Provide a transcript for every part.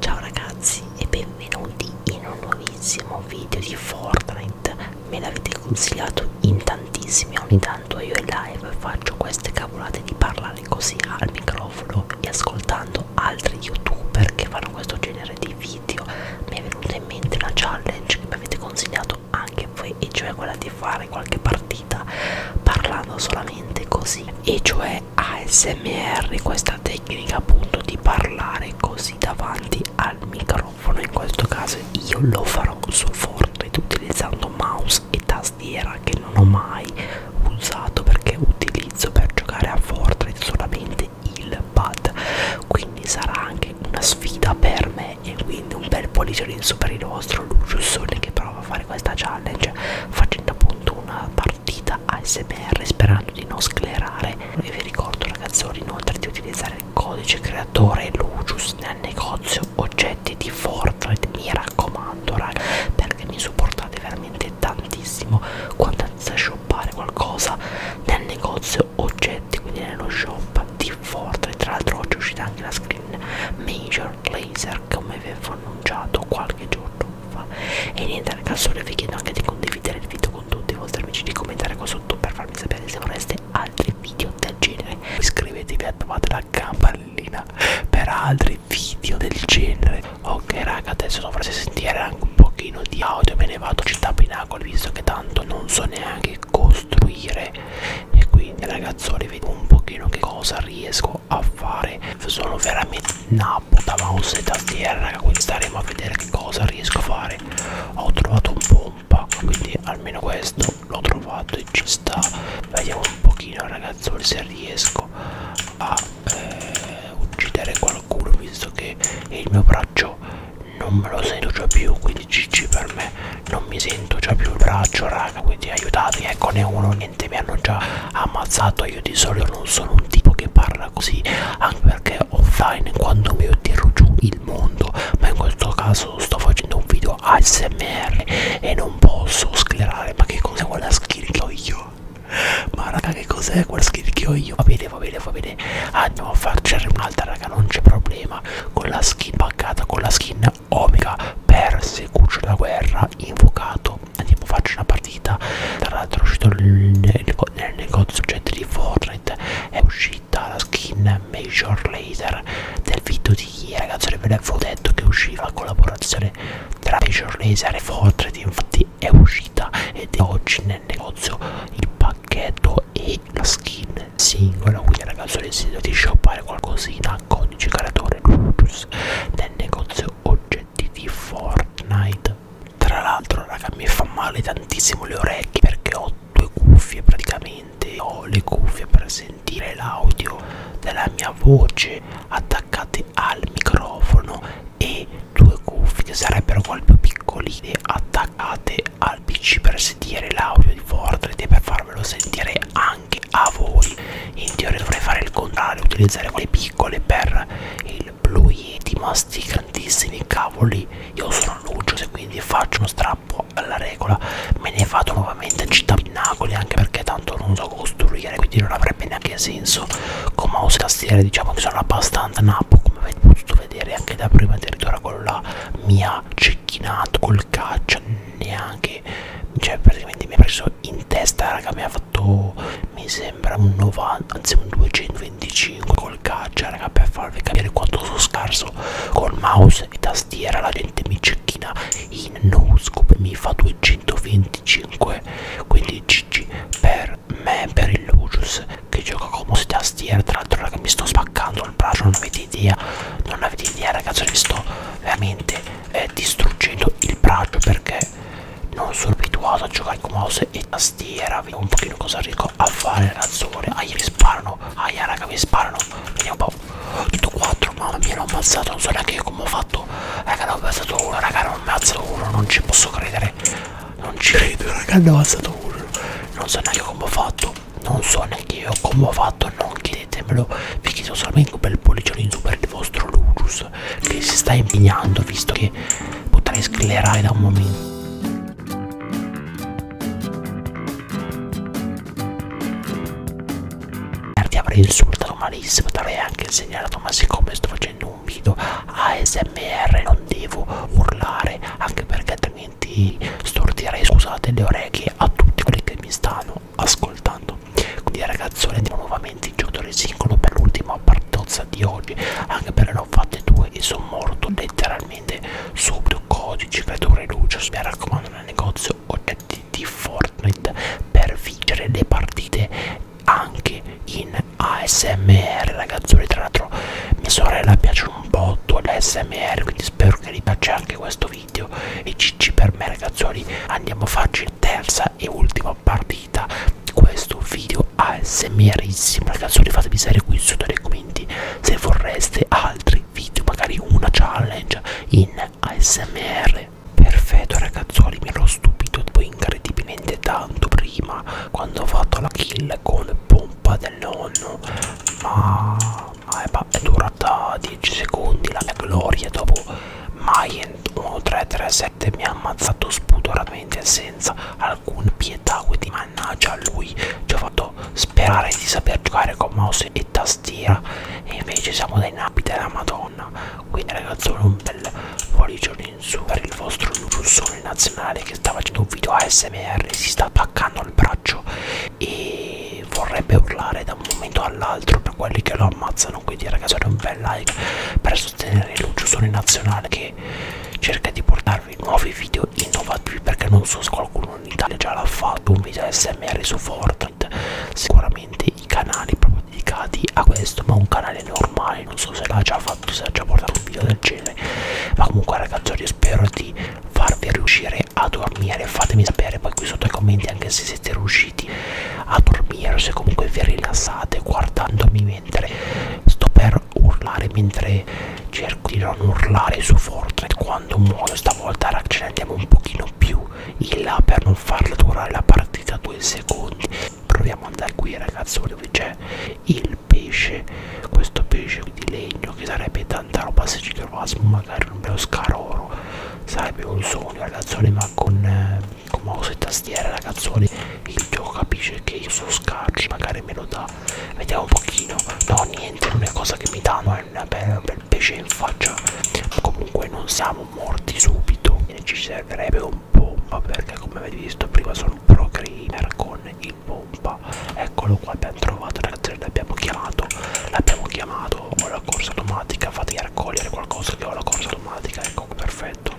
Ciao ragazzi e benvenuti in un nuovissimo video di Fortnite Me l'avete consigliato in tantissimi, ogni tanto io in live faccio queste cavolate di parlare così al microfono e ascoltando altri youtuber che fanno questo genere di video Mi è venuta in mente una challenge che mi avete consigliato anche voi e cioè quella di fare qualche partita parlando solamente così e cioè è ASMR, questa tecnica appunto di parlare così davanti al microfono. In questo caso io lo farò su Fortnite utilizzando mouse e tastiera che non ho mai usato perché utilizzo per giocare a Fortnite solamente il pad. Quindi sarà anche una sfida per me e quindi un bel pollice in su per il nostro Lucius Sole che prova a fare fare questa challenge facendo appunto una partita ASMR sperando di non sclerare e vi ricordo ragazzoni inoltre di utilizzare il codice creatore Lucius nel negozio oggetti di Fortnite mi raccomando raga perché mi supportate veramente tantissimo quando andate a shoppare qualcosa nel negozio oggetti quindi nello shop di Fortnite tra l'altro oggi è uscita anche la screen Major Laser Star come avevo annunciato qualche giorno fa e niente ragazzi ora vi chiedo anche di condividere il video con tutti i vostri amici di commentare qua sotto per farmi sapere se vorreste altri video del genere iscrivetevi e attivate la campanellina per altri video del genere ok raga adesso dovreste sentire anche un pochino di audio me ne vado città pinacoli visto che tanto non so neanche costruire e quindi ragazzoli vedo un pochino che cosa riesco andando a fare sono veramente nappo da mouse e tastiera raga quindi staremo a vedere che cosa riesco a fare ho trovato un pompa quindi almeno questo l'ho trovato e ci sta vediamo un pochino ragazzi se riesco a eh, uccidere qualcuno visto che il mio braccio non me lo sento già più quindi gg per me non mi sento già più il braccio raga quindi aiutatemi eccone uno niente mi hanno già ammazzato io di solito non sono un tipo che parla così anche perché offline quando mi tiro giù il mondo ma in questo caso sto facendo un video ASMR e non posso sclerare ma che cos'è quella skill che ho io ma raga che cos'è quella skill che ho io va bene va bene va bene andiamo a farcene un'altra raga non c'è problema con la skin paccata con la skin in Omega per Seguccio della guerra invocato andiamo faccio una partita tra l'altro è uscito nel, nel negozio gente di Fortnite è uscita la skin Major Laser del video di ieri ragazzi ve l'avevo detto che usciva la collaborazione tra Major Laser e Fortnite infatti è uscita ed è oggi nel negozio il pacchetto e la skin singola quindi ragazzi ho deciso di shoppare qualcosina codice creatore Lucius nel negozio oggetti di Fortnite. Tra l'altro, raga, mi fa male tantissimo le orecchie perché ho due cuffie praticamente. Ho le cuffie per sentire l'audio della mia voce attaccate al microfono e due cuffie che sarebbero quelle più piccoline attaccate al pc per sentire l'audio di Fortnite e per farvelo sentire anche a voi in teoria dovrei fare il contrario utilizzare quelle piccole per il blu yeti ma sti grandissimi cavoli io sono Lucio se quindi faccio uno strappo alla regola me ne vado nuovamente a città pinnacoli anche perché tanto non so costruire quindi non avrebbe neanche senso con mouse e tastiere diciamo che sono abbastanza napo come avete potuto vedere anche da prima addirittura con la mia cecchinato col calcio neanche cioè praticamente mi ha preso in testa raga mi ha fatto mi sembra un 90 anzi un 225 col calcio raga per farvi capire quanto sono scarso col mouse e tastiera la gente mi cecchina in no scope mi fa 225 quindi gg per me per il Lucius che gioca con mouse e tastiera tra l'altro raga mi sto spaccando il braccio non avete avete idea non avete idea ragazzi vi sto veramente eh, distruggendo il braccio perché non sono abituato a giocare con mouse e tastiera vediamo un pochino cosa riesco a fare razzone aia mi sparano aia raga mi sparano vediamo un po' tutto 4 mamma mia l'ho ammazzato non so neanche io come ho fatto raga ne ho ammazzato uno raga non ho ammazzato uno non ci posso credere non ci credo raga ne ho ammazzato uno non so neanche come ho fatto non so neanche io come ho fatto non chiedetemelo vi chiedo solamente un bel pollicione in su per il vostro Lucius che si sta impegnando visto che potrei sclerare da un momento ti avrei insultato malissimo ti avrei anche segnalato ma siccome sto facendo un video ASMR non devo urlare anche perché altrimenti altrimenti stortirei scusate le orecchie a tutti quelli che mi stanno ascoltando quindi ragazzi andiamo nuovamente in giocatore singolo per l'ultima partozza di oggi anche perché ne ho fatte due e sono morto letteralmente subito codici creature luce mi raccomando nel negozio oggetti di Fortnite per vincere le partite anche in ASMR ragazzuoli tra l'altro mia sorella piace un botto l'ASMR quindi spero che vi piaccia anche questo video e cicci per me ragazzuoli andiamo a farci la terza e ultima partita di questo video ASMRissimo ragazzuoli fatemi sapere qui sotto nei commenti se vorreste altri video magari una challenge in ASMR perfetto ragazzuoli mi ero stupito poi incredibilmente tanto prima quando ho fatto la kill con pompa del nonno ma è durata 10 secondi la mia gloria dopo mai 1337 mi ha ammazzato spudoratamente senza alcun pietà quindi mannaggia a lui ci ho fatto sperare di saper giocare con mouse e tastiera e invece siamo dai napi della madonna quindi ragazzi un bel fuori giorno Insur, il vostro russone nazionale che sta facendo un video ASMR, si sta attaccando al braccio e vorrebbe urlare da un momento all'altro per quelli che lo ammazzano. Quindi, ragazzi, un bel like per sostenere il russone nazionale che cerca di portarvi nuovi video innovativi perché non so se qualcuno in Italia già l'ha fatto un video ASMR su Fortnite. Sicuramente i canali proprio dedicati a questo, ma un canale normale mai non so se l'ha già fatto se ha già portato un video del genere ma comunque ragazzi io spero di farvi riuscire a dormire fatemi sapere poi qui sotto ai commenti anche se siete riusciti a dormire o se comunque vi rilassate guardandomi mentre sto per urlare mentre cerco di non urlare su Fortnite quando muoio stavolta ce ne andiamo un pochino più in là per non farla durare la partita due secondi proviamo ad andare qui ragazzi dove c'è il pesce questo pesce di legno che sarebbe tanta roba se ci trovassimo magari un bello scaroro sarebbe un sogno ragazzi ma con, eh, con mouse e tastiera ragazzi il gioco capisce che io sono scarci magari me lo dà vediamo un pochino no niente non è cosa che mi danno è un bel, un bel pesce in faccia ma comunque non siamo siamo morti subito e ci servirebbe un pompa perché come avete visto prima sono pro creamer con il pompa eccolo qua abbiamo trovato ragazzi l'abbiamo chiamato l'abbiamo chiamato ho la corsa automatica fatica a raccogliere qualcosa che ho la corsa automatica ecco perfetto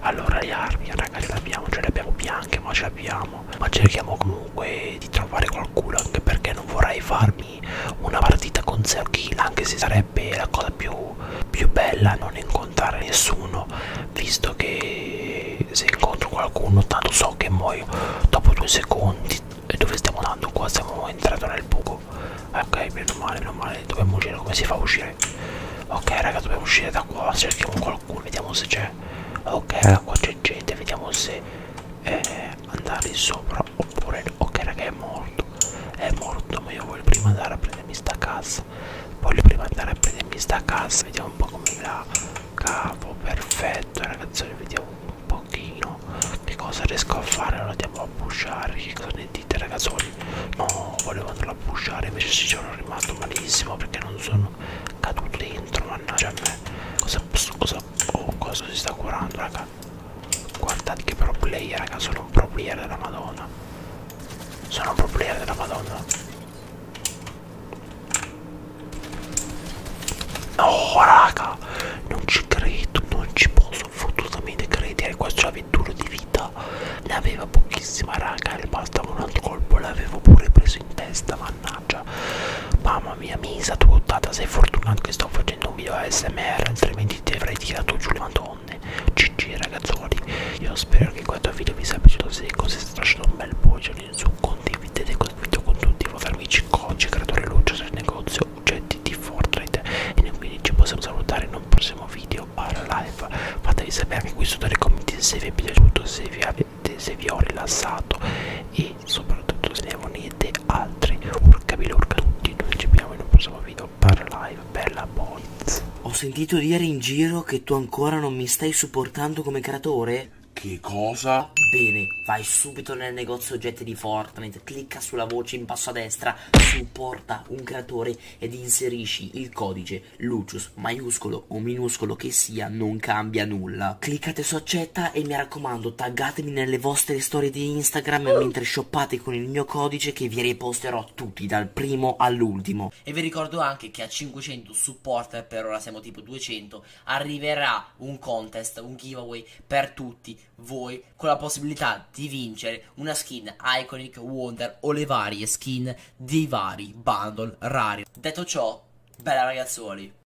allora le armi ragazzi le abbiamo ce le abbiamo bianche ma ce le abbiamo ma cerchiamo comunque di trovare qualcuno anche perché non vorrei farmi una partita con 0 kill anche se sarebbe la cosa più più, più bella non incontrare nessuno visto che se incontro qualcuno tanto so che muoio dopo due secondi e dove stiamo andando qua siamo entrati nel buco ok meno male meno male dobbiamo uscire come si fa a uscire ok raga dobbiamo uscire da qua cerchiamo qualcuno vediamo se c'è ok raga qua c'è gente vediamo se eh, andare sopra oppure ok raga è morto è morto ma io voglio prima andare a prendermi sta cassa voglio prima andare a prendermi sta cassa vediamo un po' come la cavo perfetto ragazzi vediamo un pochino che cosa riesco a fare allora andiamo a pushare che cosa ne dite ragazzoli no volevo andare a pushare invece ci sono rimasto malissimo perché non sono caduto dentro mannaggia a me cosa, cosa, oh, cosa si sta curando raga Guardate che pro player, raga, sono un pro player della madonna. Sono un pro player della madonna. No, raga, non ci credo, non ci posso fottutamente credere. Questo c'ha 21 di vita. Ne aveva pochissima, raga, e bastava un altro colpo. L'avevo pure preso in testa, mannaggia. Mamma mamma mia Misa tu ottata sei fortunato che sto facendo un video ASMR altrimenti ti avrei tirato giù le madonne GG ragazzoli io spero che questo video vi sia piaciuto se così state lasciando un bel pollice in su condividete questo video con tutti vostri amici coach creatore luce del negozio oggetti di Fortnite e quindi ci possiamo salutare in un prossimo video barra live fatevi sapere anche qui sotto nei commenti se vi è piaciuto se vi avete se vi ho rilassato e e soprattutto se ne volete altre urca bilurca tutti noi ci abbiamo in un prossimo video per live bella boys ho sentito dire in giro che tu ancora non mi stai supportando come creatore che cosa? Bene, vai subito nel negozio oggetti di Fortnite, clicca sulla voce in basso a destra, supporta un creatore ed inserisci il codice Lucius, maiuscolo o minuscolo che sia, non cambia nulla cliccate su accetta e mi raccomando taggatemi nelle vostre storie di Instagram mentre shoppate con il mio codice che vi riposterò tutti dal primo all'ultimo. E vi ricordo anche che a 500 supporter, per ora siamo tipo 200, arriverà un contest, un giveaway per tutti voi con la possibilità di vincere una skin Iconic Wonder o le varie skin dei vari bundle rari. Detto ciò, bella ragazzoli.